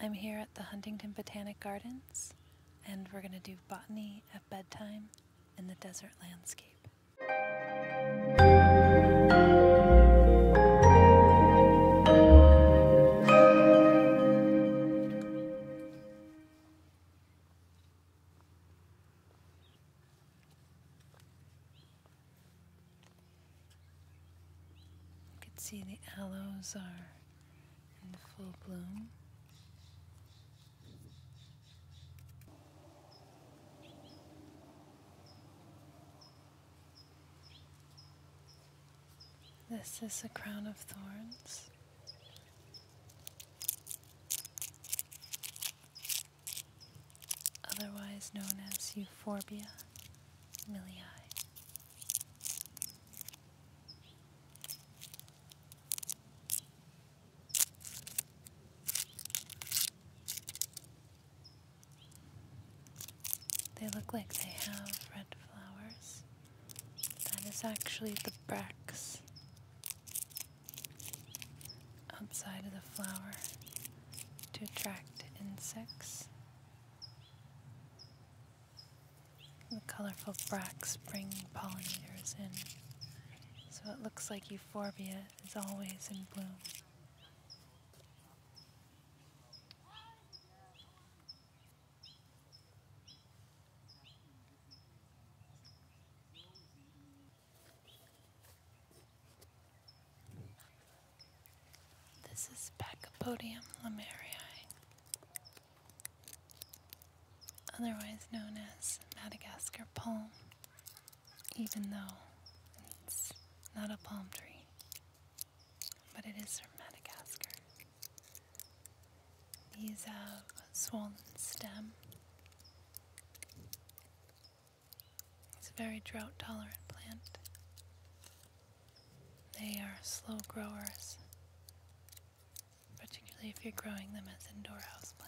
I'm here at the Huntington Botanic Gardens, and we're going to do botany at bedtime in the desert landscape. You can see the aloes are in full bloom. This is a crown of thorns. Otherwise known as Euphorbia miliae. They look like they have red flowers. That is actually the bracts outside of the flower to attract insects. The colorful bracts bring pollinators in, so it looks like euphorbia is always in bloom. This is Pachypodium lamerii, otherwise known as Madagascar palm, even though it's not a palm tree, but it is from Madagascar. These have swollen stem. It's a very drought tolerant plant. They are slow growers, particularly if you're growing them as indoor houseplants.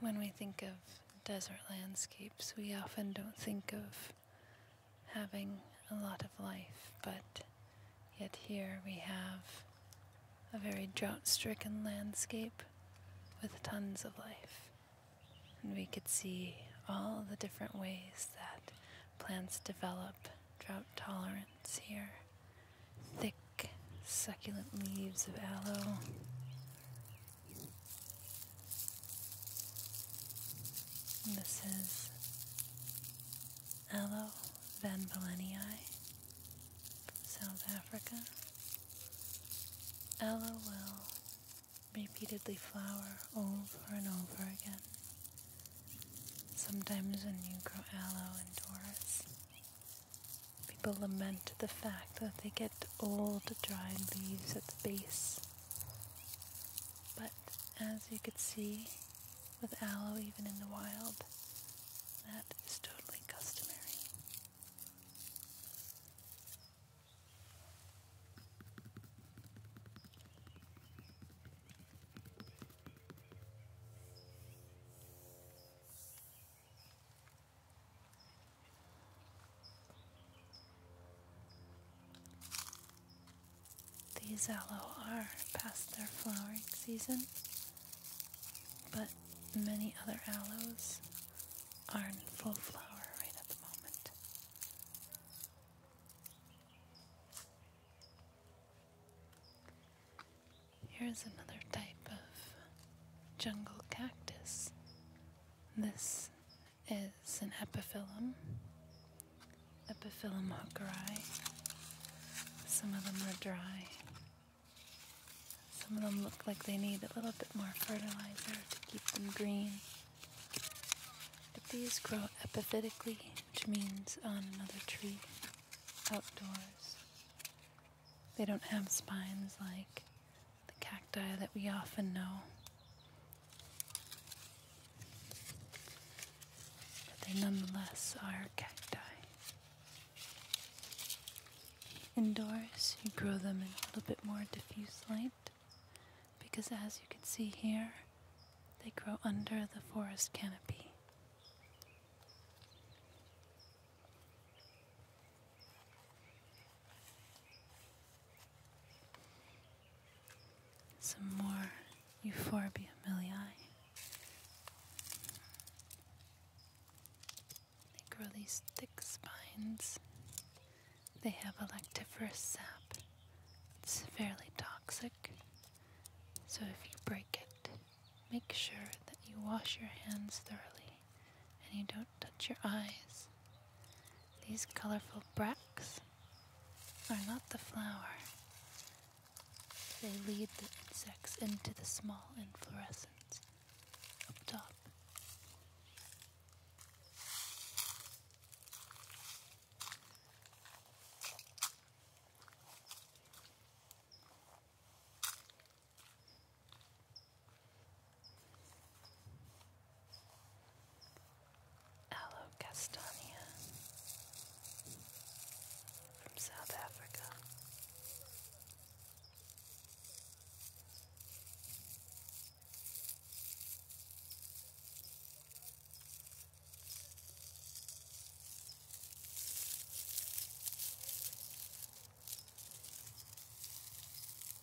When we think of desert landscapes, we often don't think of having a lot of life, but yet here we have a very drought stricken landscape with tons of life. And we could see all the different ways that plants develop drought tolerance here. Thick, succulent leaves of aloe, this is Aloe Van South Africa. Aloe will repeatedly flower over and over again. Sometimes when you grow aloe and Doris, people lament the fact fact they get old, dried leaves at the base. But as you could see with aloe, even in the wild, that is totally customary. These aloes are past their flowering season, but many other aloes are in full flower right at the moment. Here's another type of jungle cactus. This is an epiphyllum, epiphyllum hookeri. Some of them are dry. Some of them look like they need a little bit more fertilizer to keep them green. But these grow epiphytically, which means on another tree, outdoors. They don't have spines like the cacti that we often know. But they nonetheless are cacti. Indoors, you grow them in a little bit more diffuse light because, as you can see here, they grow under the forest canopy. Some more Euphorbia milii. They grow these thick spines. They have a lactiferous sap. It's fairly toxic, so if you break it, make sure that you wash your hands thoroughly and you don't touch your eyes. These colorful bracts are not the flower. They lead the insects into the small inflorescence up top. Allocastania from South Africa.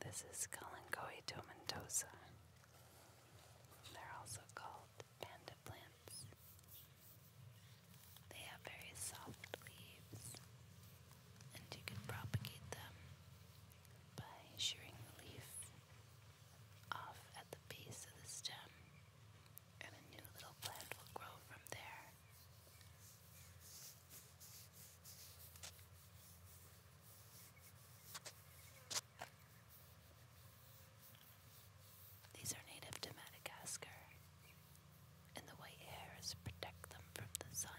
This is Kalanchoe tomentosa. They're also called panda plants. They have very soft leaves, and you can propagate them by shearing the leaf off at the base of the stem, and a new little plant will grow from there. These are native to Madagascar, and the white hairs protect them from the sun.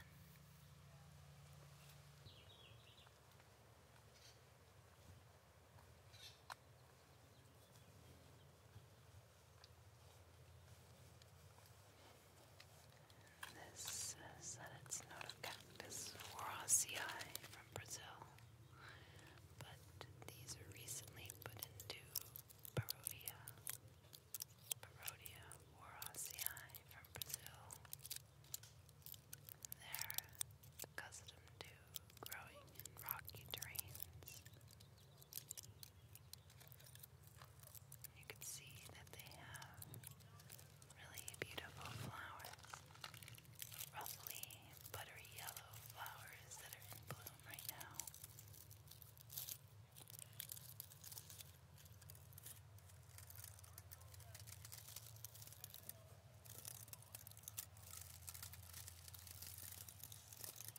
This says that it's not a cactus or from Brazil, but these are recently put into Barodia. Barodia or from Brazil. They're accustomed to growing in rocky terrains. You can see that they have really beautiful flowers, roughly buttery yellow flowers that are in bloom right now.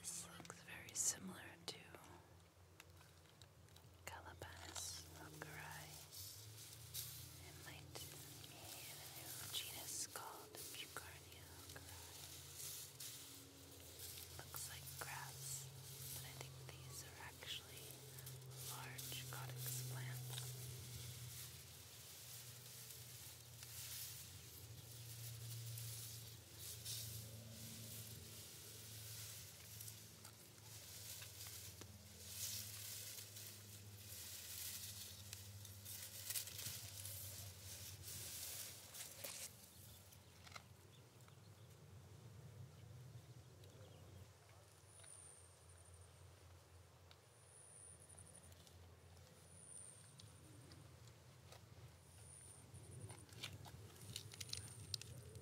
This looks very similar to Calabas vulgari. might be a new genus called Bucarnia Looks like grass, but I think these are actually especially large cottage plants.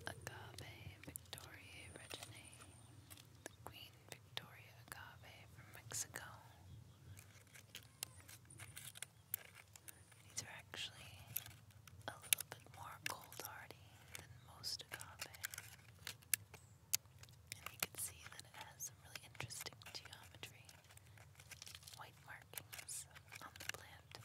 Agave Victoria originated the Queen Victoria agave from Mexico. These are actually a little bit more cold hardy than most agave. And you can see that it has some really interesting geometry, white markings on the plant. Now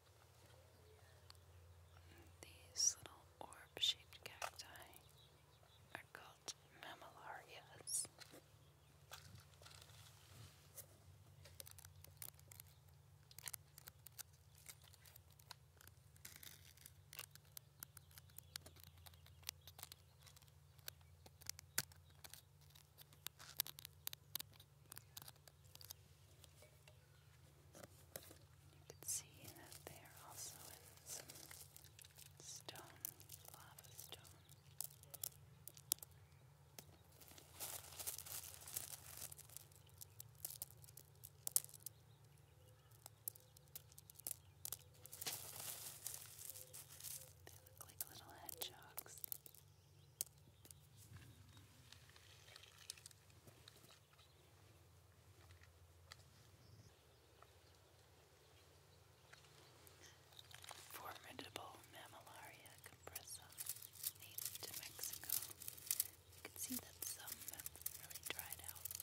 These little orb-shaped cacti are called mammillarias. You can see that they are also in some stone, lava stone. They look like little hedgehogs. Formidable Mammillaria compressa, native to Mexico. You can see that some have really dried out,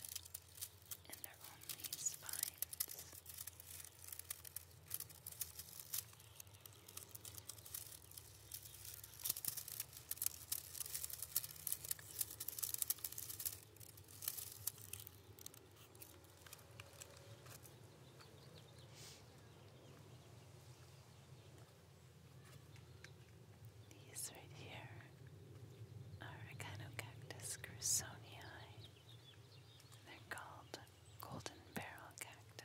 and they're only spines. These right here are Echinocactus grusonii. They're called golden barrel cacti.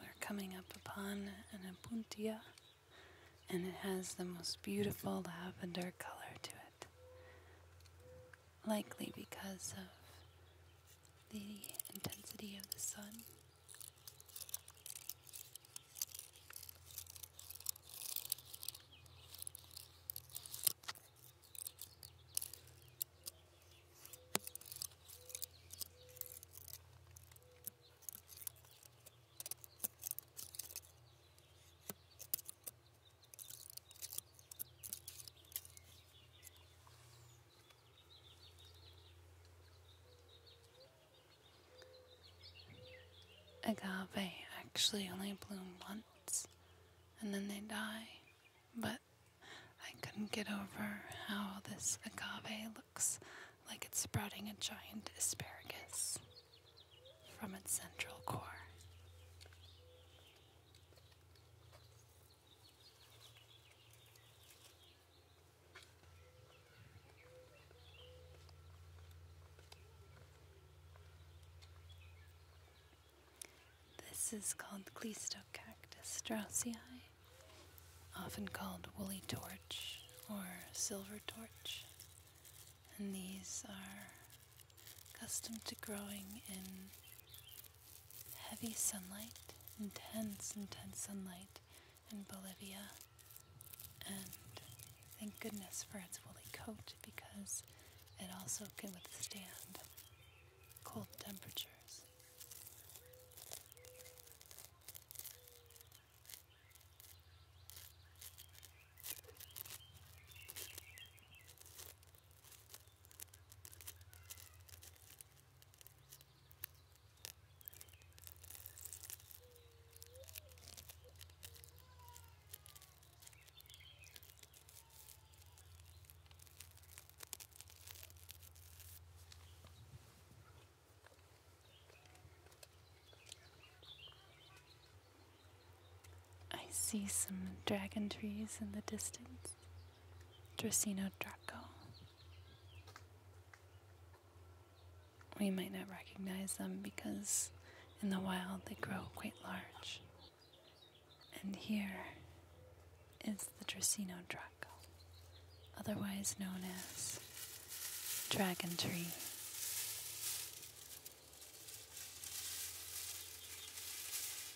We're coming up upon an apuntia, and it has the most beautiful lavender color to it, likely because of the intensity of the sun. Agave actually only bloom once and then they die, but I couldn't get over how this agave looks like it's sprouting a giant asparagus from its central core. This is called Cleistocactus straussii, often called woolly torch or silver torch. And these are accustomed to growing in heavy sunlight, intense, intense sunlight in Bolivia. And thank goodness for its woolly coat because it also can withstand cold temperatures. I see some dragon trees in the distance. Draceno Draco. We might not recognize them because in the wild they grow quite large. And here is the Draceno draco, otherwise known as dragon tree.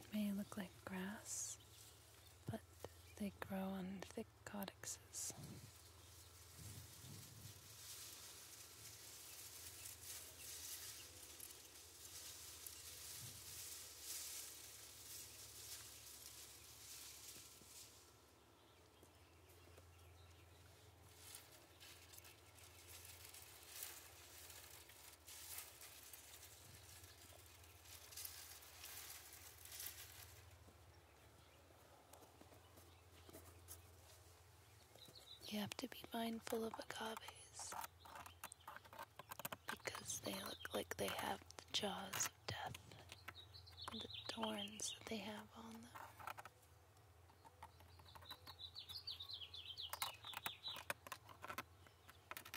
It may look like grass, but they grow on thick codexes. You have to be mindful of agaves because they look like they have the jaws of death and the thorns that they have on them.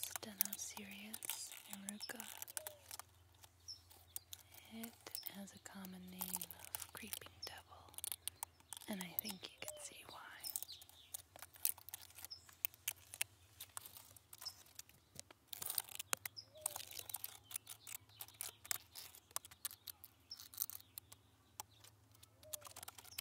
Stenosirius eruca. It has a common name of creeping devil, and I think you can see why.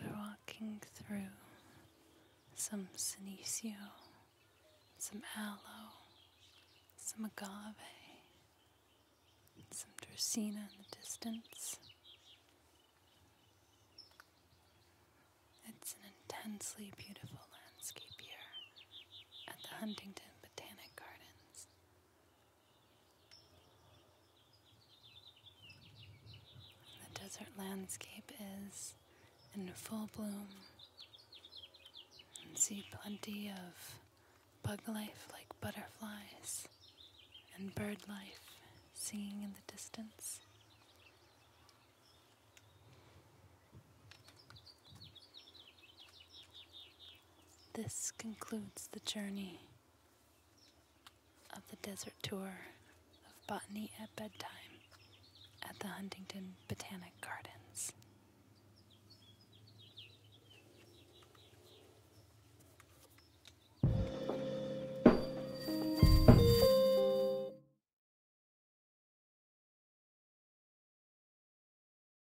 We're walking through some senecio, some aloe, some agave, some dracaena in the distance. It's an intensely beautiful landscape here at the Huntington Botanic Gardens. The desert landscape is in full bloom. And see plenty of bug life like butterflies and bird life singing in the distance. This concludes the journey of the desert tour of Botany at Bedtime at the Huntington Botanic Gardens.